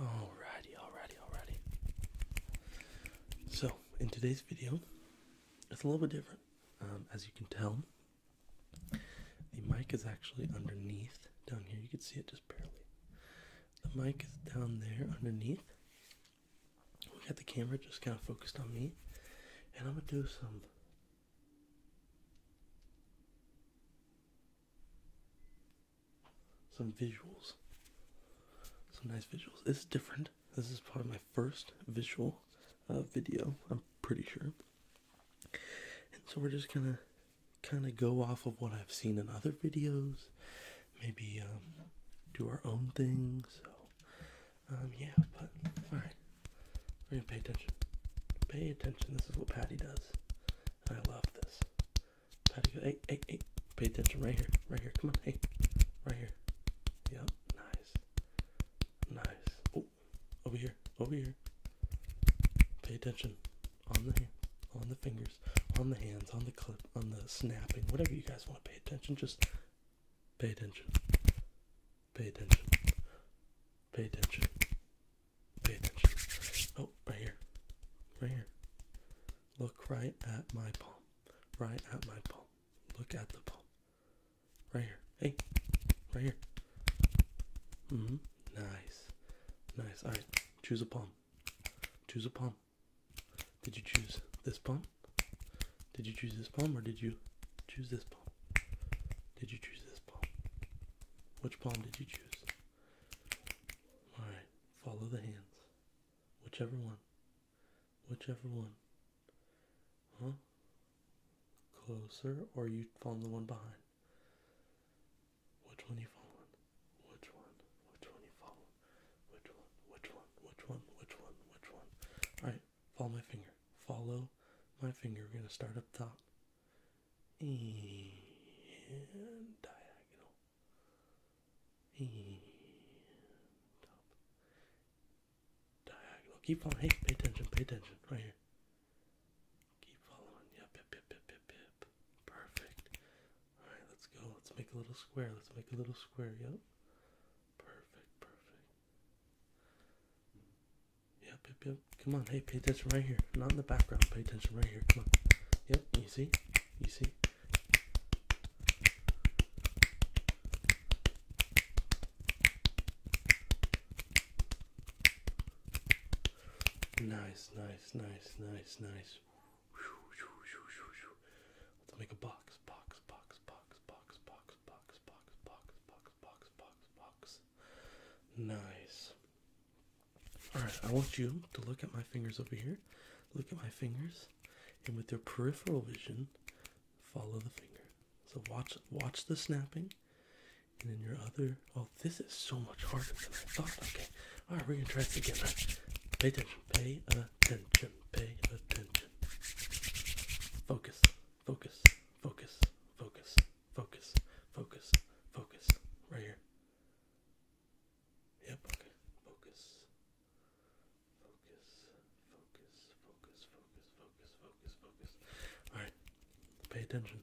Alrighty, alrighty, alrighty. So, in today's video, it's a little bit different. Um, as you can tell, the mic is actually underneath down here. You can see it just barely. The mic is down there underneath. We got the camera just kind of focused on me. And I'm going to do some some visuals. Some nice visuals. It's different. This is probably my first visual uh, video. I'm pretty sure. And so we're just gonna kind of go off of what I've seen in other videos. Maybe um, do our own thing. So um, yeah, but all right. We're gonna pay attention. Pay attention. This is what Patty does. I love this. Hey, hey, hey. Pay attention right here. Right here. Come on. Hey. Right here. Yep. Nice. Nice. Oh. Over here. Over here. Pay attention. On the On the fingers. On the hands. On the clip. On the snapping. Whatever you guys want to pay attention. Just pay attention. Pay attention. Pay attention. Oh, right here. Right here. Look right at my palm. Right at my palm. Look at the palm. Right here. Hey. Right here. hmm Nice. Nice. Alright. Choose a palm. Choose a palm. Did you choose this palm? Did you choose this palm or did you choose this palm? Did you choose this palm? Which palm did you choose? Alright, follow the hands. Whichever one. Whichever one. Huh? Closer or you follow the one behind? Which one you follow? Which one? Which one you following? Which one? Which one? Which one? Which one? Which one? Alright, follow my finger. Follow my finger. We're gonna start up top and diagonal and up diagonal keep on hey pay attention pay attention right here keep following yep yep yep yep yep yep perfect all right let's go let's make a little square let's make a little square yep perfect perfect Yep, yep, yep. Come on, hey, pay attention right here. Not in the background, pay attention right here. Come on. Yep, you see? You see? Nice, nice, nice, nice, nice. Let's make a box, box, box, box, box, box, box, box, box box, box, box, Nice. Alright, I want you to look at my fingers over here. Look at my fingers. And with your peripheral vision, follow the finger. So watch watch the snapping. And then your other oh this is so much harder than I thought. Okay. Alright, we're gonna try this again. Right? Pay attention. Pay attention. Pay attention. Focus focus, focus, focus, focus, focus, focus, right here. Yep, Focus. Focus. Focus. Focus. Focus. Focus. Focus. Focus. Alright. Pay attention.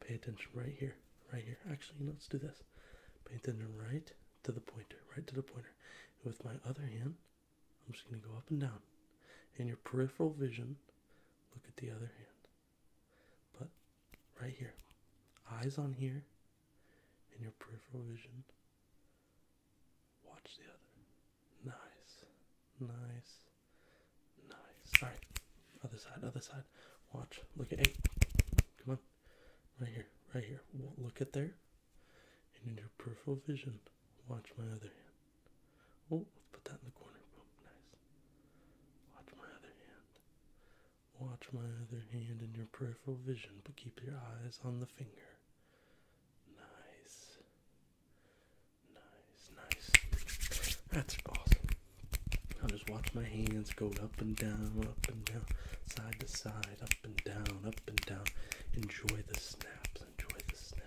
Pay attention right here. Right here. Actually, no, let's do this. Pay attention right to the pointer. Right to the pointer. With my other hand, I'm just going to go up and down. And your peripheral vision, look at the other hand. But right here, eyes on here, and your peripheral vision, watch the other. Nice, nice, nice. All right, other side, other side. Watch, look at eight. Come on, right here, right here. Look at there, and in your peripheral vision, watch my other hand. Oh, put that in the corner. Oh, nice. Watch my other hand. Watch my other hand in your peripheral vision, but keep your eyes on the finger. Nice. Nice, nice. That's awesome. I'll just watch my hands go up and down, up and down, side to side, up and down, up and down. Enjoy the snaps, enjoy the snaps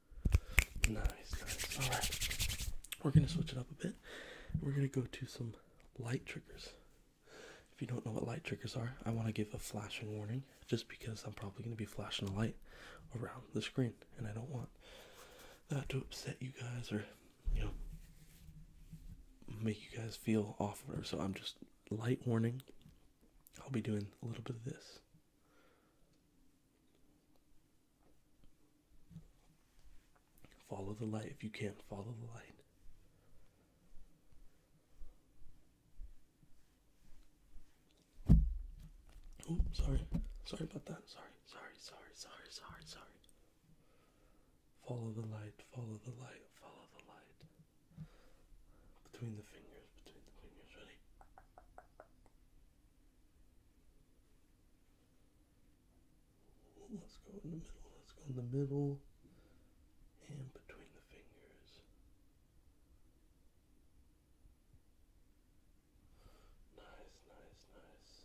Nice, Alright. We're gonna switch it up a bit. We're gonna go to some light triggers. If you don't know what light triggers are, I want to give a flashing warning just because I'm probably going to be flashing a light around the screen and I don't want that to upset you guys or, you know, make you guys feel off or so. I'm just light warning. I'll be doing a little bit of this. Follow the light if you can, not follow the light. Oh, sorry. Sorry about that. Sorry, sorry, sorry, sorry, sorry, sorry. Follow the light, follow the light, follow the light. Between the fingers, between the fingers, ready? Let's go in the middle. Let's go in the middle and between the fingers. Nice, nice, nice.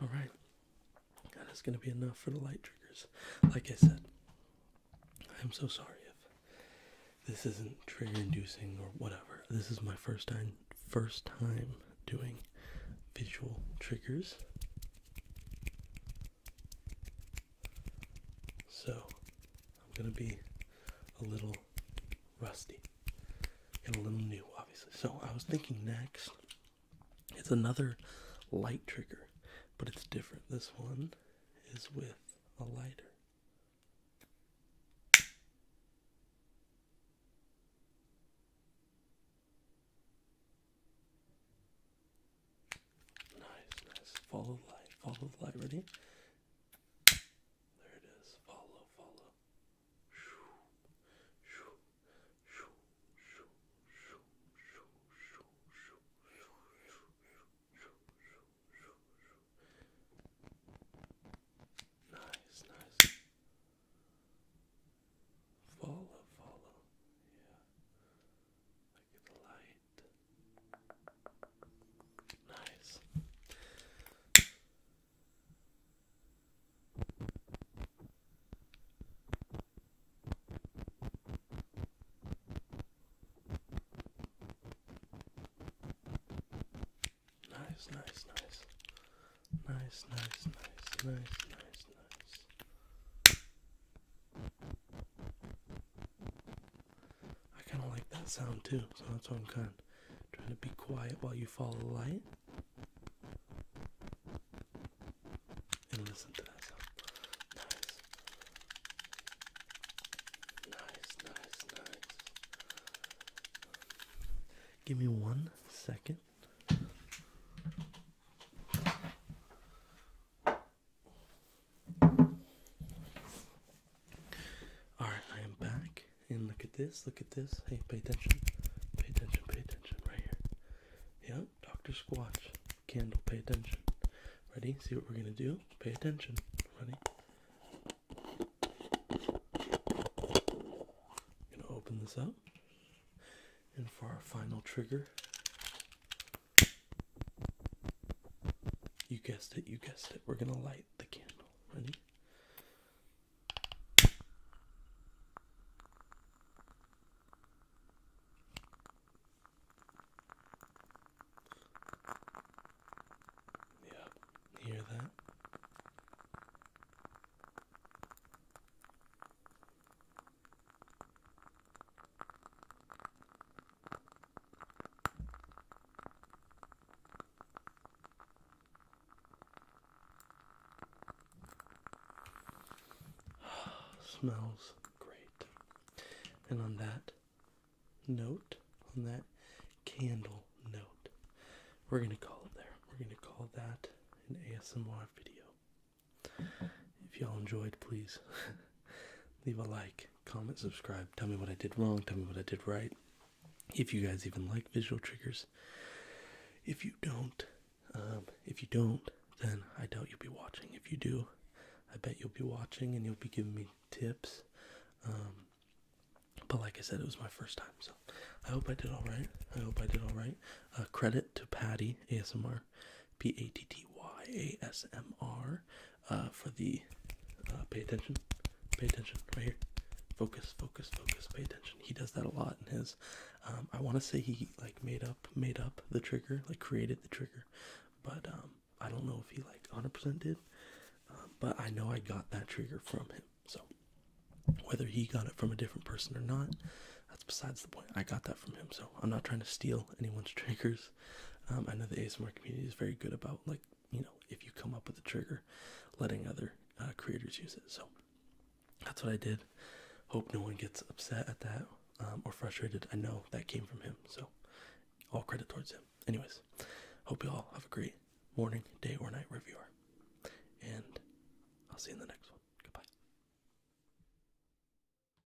All right, that's gonna be enough for the light triggers. Like I said, I'm so sorry if this isn't trigger inducing or whatever. This is my first time, first time doing visual triggers. So I'm gonna be a little rusty and a little new, obviously. So I was thinking next, it's another light trigger, but it's different. This one is with a lighter. Nice, nice. Follow the light, follow the light. Ready? There it is. Follow, follow. Nice, nice. Follow, follow. Yeah. Like the light. Nice. Nice, nice, nice. Nice, nice, nice, nice, nice, nice. I kind of like that sound too, so that's why I'm kind of trying to be quiet while you follow the light. And listen to that sound. Nice, nice, nice. Give me one second. Alright, I am back. And look at this, look at this. Hey, pay attention. Pay attention, pay attention. Right here. Yep, Dr. Squatch. Candle, pay attention. Ready? See what we're gonna do? Pay attention. Ready? gonna open this up. And for our final trigger, you guessed it, you guessed it. We're gonna light the candle. Ready? Yeah, hear that? Smells great. And on that note, on that candle note, we're going to call it there. We're going to call that an ASMR video. If y'all enjoyed, please leave a like comment, subscribe. Tell me what I did wrong. Tell me what I did right. If you guys even like visual triggers. If you don't, um, if you don't, then I doubt you'll be watching. If you do, I bet you'll be watching and you'll be giving me tips. Um, but like I said, it was my first time, so I hope I did all right. I hope I did all right. credit to Patty ASMR, P A T T Y A S M R, uh, for the uh, pay attention, pay attention right here. Focus, focus, focus, pay attention. He does that a lot in his. Um, I want to say he like made up, made up the trigger, like created the trigger, but um, I don't know if he like 100% did. Um, but I know I got that trigger from him. So whether he got it from a different person or not, that's besides the point. I got that from him. So I'm not trying to steal anyone's triggers. Um, I know the ASMR community is very good about like you know if you come up with a trigger, letting other uh, creators use it. So that's what I did. Hope no one gets upset at that um, or frustrated. I know that came from him, so all credit towards him. Anyways, hope you all have a great morning, day, or night wherever and I'll see you in the next one. Goodbye.